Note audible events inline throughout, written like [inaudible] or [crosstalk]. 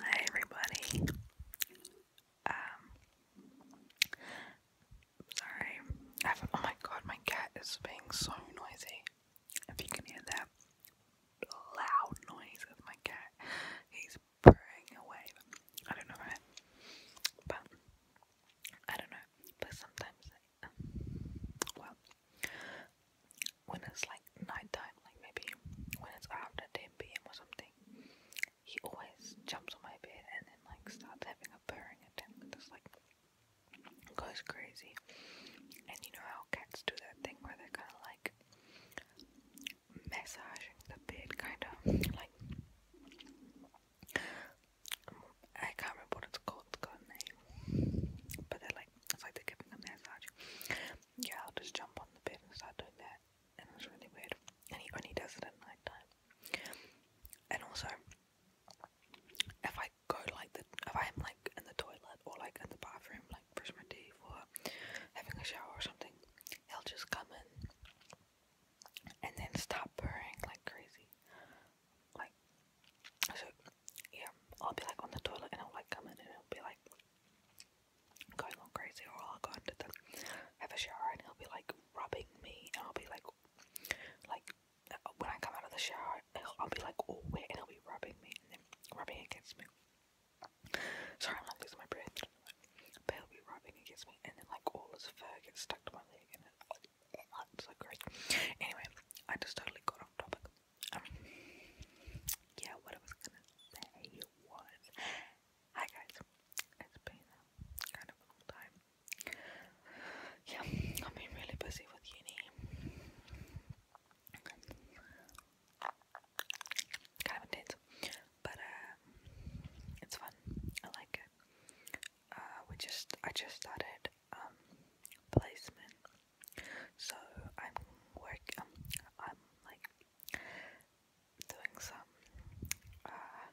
Hi everybody. Um, sorry. oh my god, my cat is being so noisy. If you can hear that loud noise of my cat. He's purring away. I don't know why. But I don't know. But sometimes um, well when it's like nighttime, like maybe when it's after 10 pm or something, he always jumps on my bed and then like starts having a purring attempt. Just like goes crazy. And you know how cats do that thing where they're kind of like massaging the bed, kind of like I can't remember what it's called, but they're like it's like they're giving a massage yeah, I'll just jump on the bed and start doing that, and it's really weird. And he when he does it at night time. And also, if I go like the, if I'm like in the toilet or like in the bathroom, like brush my teeth or having a shower or something, he'll just come in and then stop purring like crazy. Like, so yeah, I'll be like on the toilet and I'll like come in and it'll be like going all crazy, or I'll go into the have a shower and he'll be like rubbing me, and I'll be like, like uh, when I come out of the shower, I'll be like all wet and he'll be rubbing me and then rubbing against me. Sorry, I'm not losing my breath. But he'll be rubbing against me, and then like all his fur gets stuck to my leg, and it's like, [sniffs] great. Anyway, I just totally got off topic. I mean, yeah, what I was gonna say was, hi guys, it's been um, kind of a long time. Yeah, I've been really busy with uni. Kind of intense, but um, it's fun. I like it. Uh, we just, I just started um placement so I'm work. Um, I'm like doing some, uh,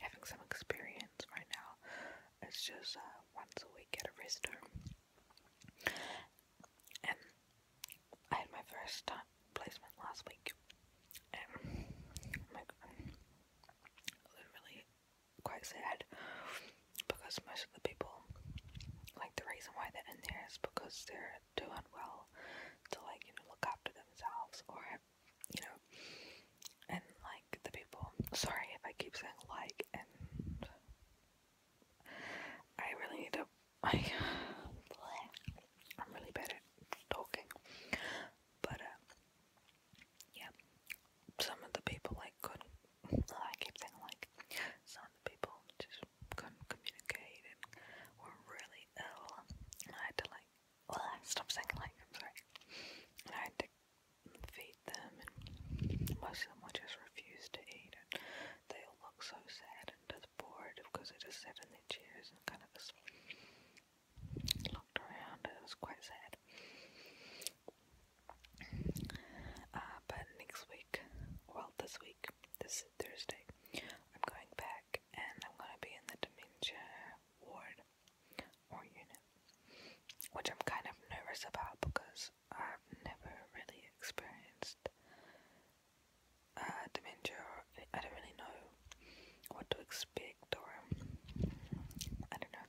having some experience right now. It's just uh, once a week at a restaurant, and I had my first placement last week, and I'm like, quite sad because most of the people, like the reason why they're in there is because they're doing well to like, you know, look after themselves or, you know, and like the people, sorry if I keep saying like, and I really need to, [laughs] I, I'm really bad at talking, but, uh, yeah, some of the people like couldn't I keep saying like some of the people just couldn't communicate and were really ill and I had to like stop saying like I'm sorry. And I had to feed them and most of them would just refuse to eat and they all look so sad and just bored because they just sat in their chairs and kind of just looked around and it was quite sad. Uh, but next week, well, this week, this Thursday, I'm going back and I'm going to be in the dementia ward or unit, which I'm kind of nervous about because I've never really experienced uh, dementia. Or I don't really know what to expect, or I don't know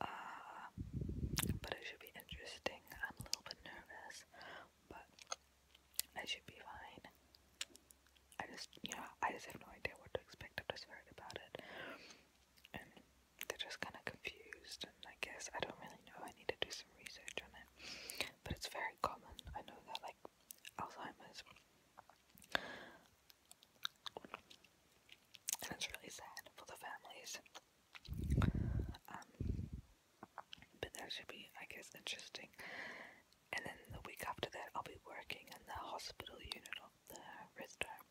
uh, but it should be interesting. I'm a little bit nervous, but I should be fine. I just, you I just have no idea what to expect. i am just heard about it, and they're just kind of confused. And I guess I don't really know. I need to do some research on it, but it's very common. I know that, like Alzheimer's, and it's really sad for the families. Um, but that should be, I guess, interesting. And then the week after that, I'll be working in the hospital unit of the resident.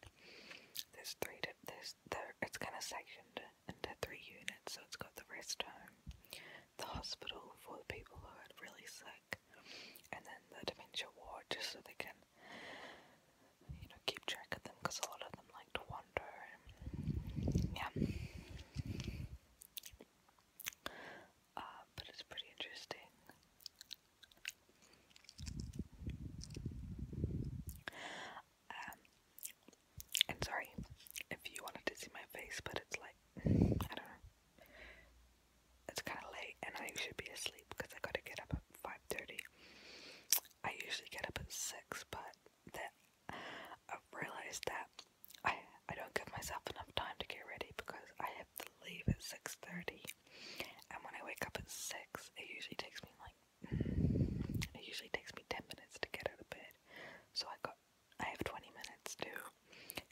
There's three, there's there. It's kind of sectioned into three units, so it's got the rest home, the hospital for the people who are really sick, and then the dementia ward, just so they can you know, keep track of them because a lot of them like to wander. Yeah. Uh, but it's pretty interesting. Um, and sorry if you wanted to see my face, but it's like, I don't know. It's kind of late and I should be asleep because I gotta get up 5.30. I usually get up at 6, but I've realized that I, I don't give myself enough time to get ready because I have to leave at 6.30. And when I wake up at 6, it usually takes me like, mm, it usually takes me 10 minutes to get out of bed. So I got, I have 20 minutes to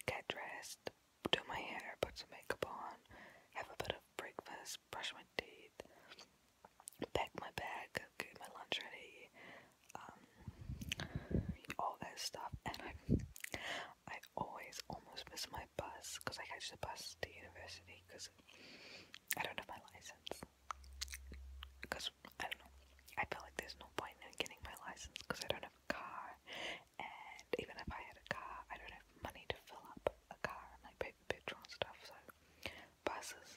get dressed, do my hair, put some makeup on, have a bit of breakfast, brush my teeth, pack my bag, get my lunch ready, um, all that stuff. And I, I always almost miss my bus because I catch the bus to university because I don't have my license. Because I don't I feel like there's no point in getting my license because I don't have a car, and even if I had a car, I don't have money to fill up a car and I pay petrol and stuff, so buses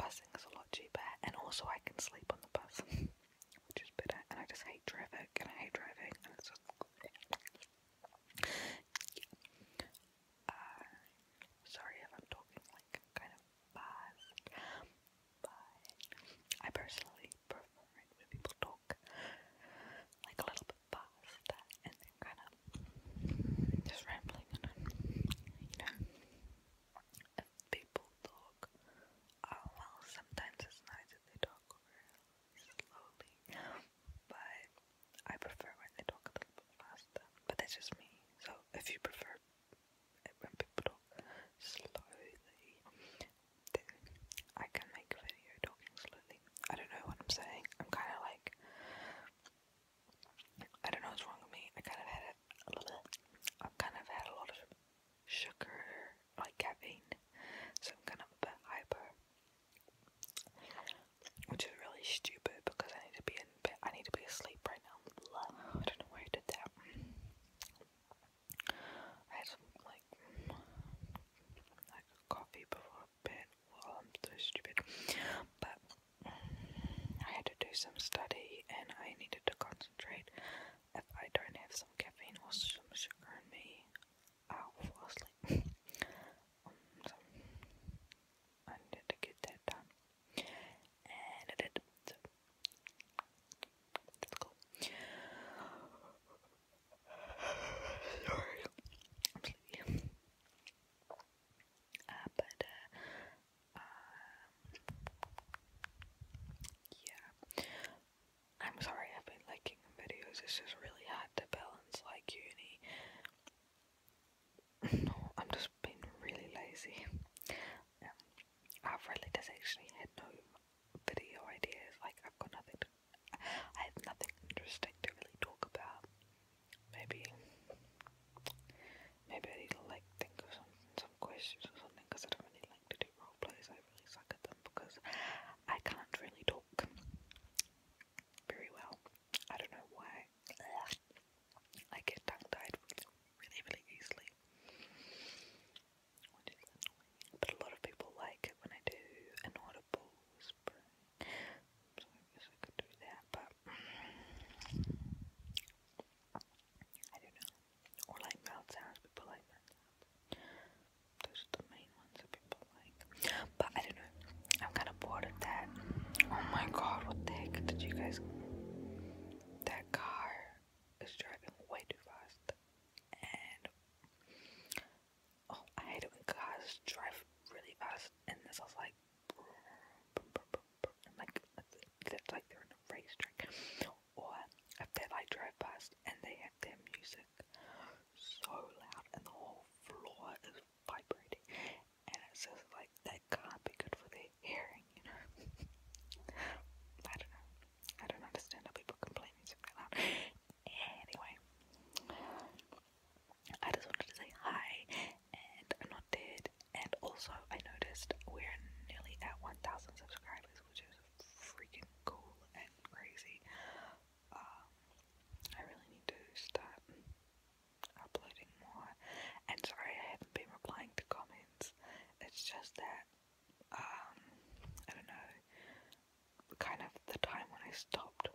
busing is a lot cheaper, and also I can sleep on the bus, [laughs] which is better. And I just hate traffic, and I hate driving, uh, sorry if I'm talking like kind of fast, but I personally prefer it when people talk like a little bit past and then kind of just rambling on, you know. people talk, oh, well, sometimes it's nice if they talk slowly, but I prefer when they talk a little bit faster. But that's just me. So if you prefer when people talk slowly, I can make a video talking slowly. I don't know what I'm saying. I'm kind of like I don't know what's wrong with me. I kind of had a, little. i kind of had a lot of sugar, like caffeine, so I'm kind of a bit hyper, which is really stupid because I need to be in bed. I need to be asleep right now. I don't know why I did that. I had some like like coffee before stupid. Well, I'm so stupid. But mm, I had to do some study and I needed to concentrate. If I don't have some caffeine or some sugar in me, i fall asleep. [laughs] Um, I needed to get that done. And I did. So that's cool. [sighs] Sorry. Uh, but uh, um, yeah, I'm sorry I've been liking videos. It's just really hard to balance like uni. [laughs] I'm just being really lazy. Um, I've really just actually had no video ideas. Like I've got nothing to I have nothing interesting to really talk about. Maybe, maybe I need to like think of some some questions or something because I don't really like to do role plays. I really suck at them because I can't really talk very well. I don't know why. I get tongue tied really, really easily. But a lot of people like it when I do an lot So I guess I could do that, but I don't know. Or like mouth sounds, people like mouth sounds. Those are the main ones that people like. But I don't know. I'm kind of bored of that. Oh my god, what the heck did you guys. That car is driving way too fast. And oh, I hate it when cars drive really fast and this is like like that's like they're in a racetrack. Or if they like drive past and they have their music so loud and the whole floor is vibrating and it's like that can't be good for their hearing, you know. [laughs] I don't know. I don't understand how people can play music that Anyway. I just wanted to say hi, and I'm not dead. And also, I noticed we're nearly at 1,000 subscribers, which is freaking cool and crazy. Um, I really need to start uploading more. And sorry, I haven't been replying to comments. It's just that, um, I don't know, kind of the time when I stopped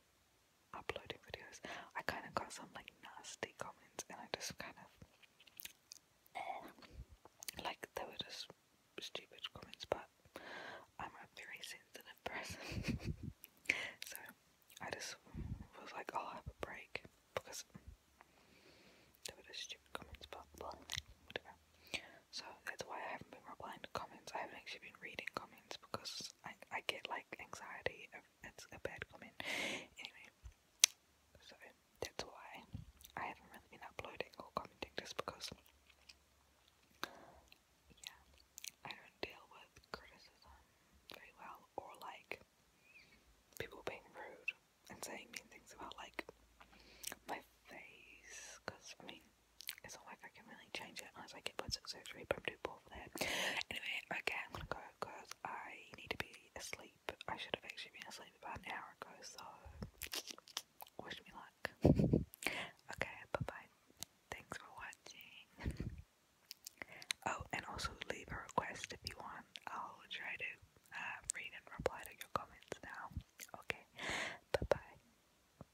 uploading videos, I kind of got some like nasty comments, and I just kind of eh. like they were just stupid comments, but I'm a very sensitive person, [laughs] so I just was like, oh, I'll have a break because they were just stupid comments, but whatever. So that's why I haven't been replying to comments. I haven't actually been reading comments because I, I get like anxiety if it's a bad comment. Anyway, so that's why I haven't been uploading or commenting just because, yeah, I don't deal with criticism very well or like people being rude and saying mean things about like my face because I it's not like I can really change it unless I get plastic surgery, but I'm too poor for that. Anyway, okay, I'm gonna go because I need to be asleep. I should have actually been asleep about an hour ago, so wish me luck. [laughs] okay, bye bye. Thanks for watching. [laughs] oh, and also leave a request if you want. I'll try to uh, read and reply to your comments now. Okay, bye bye.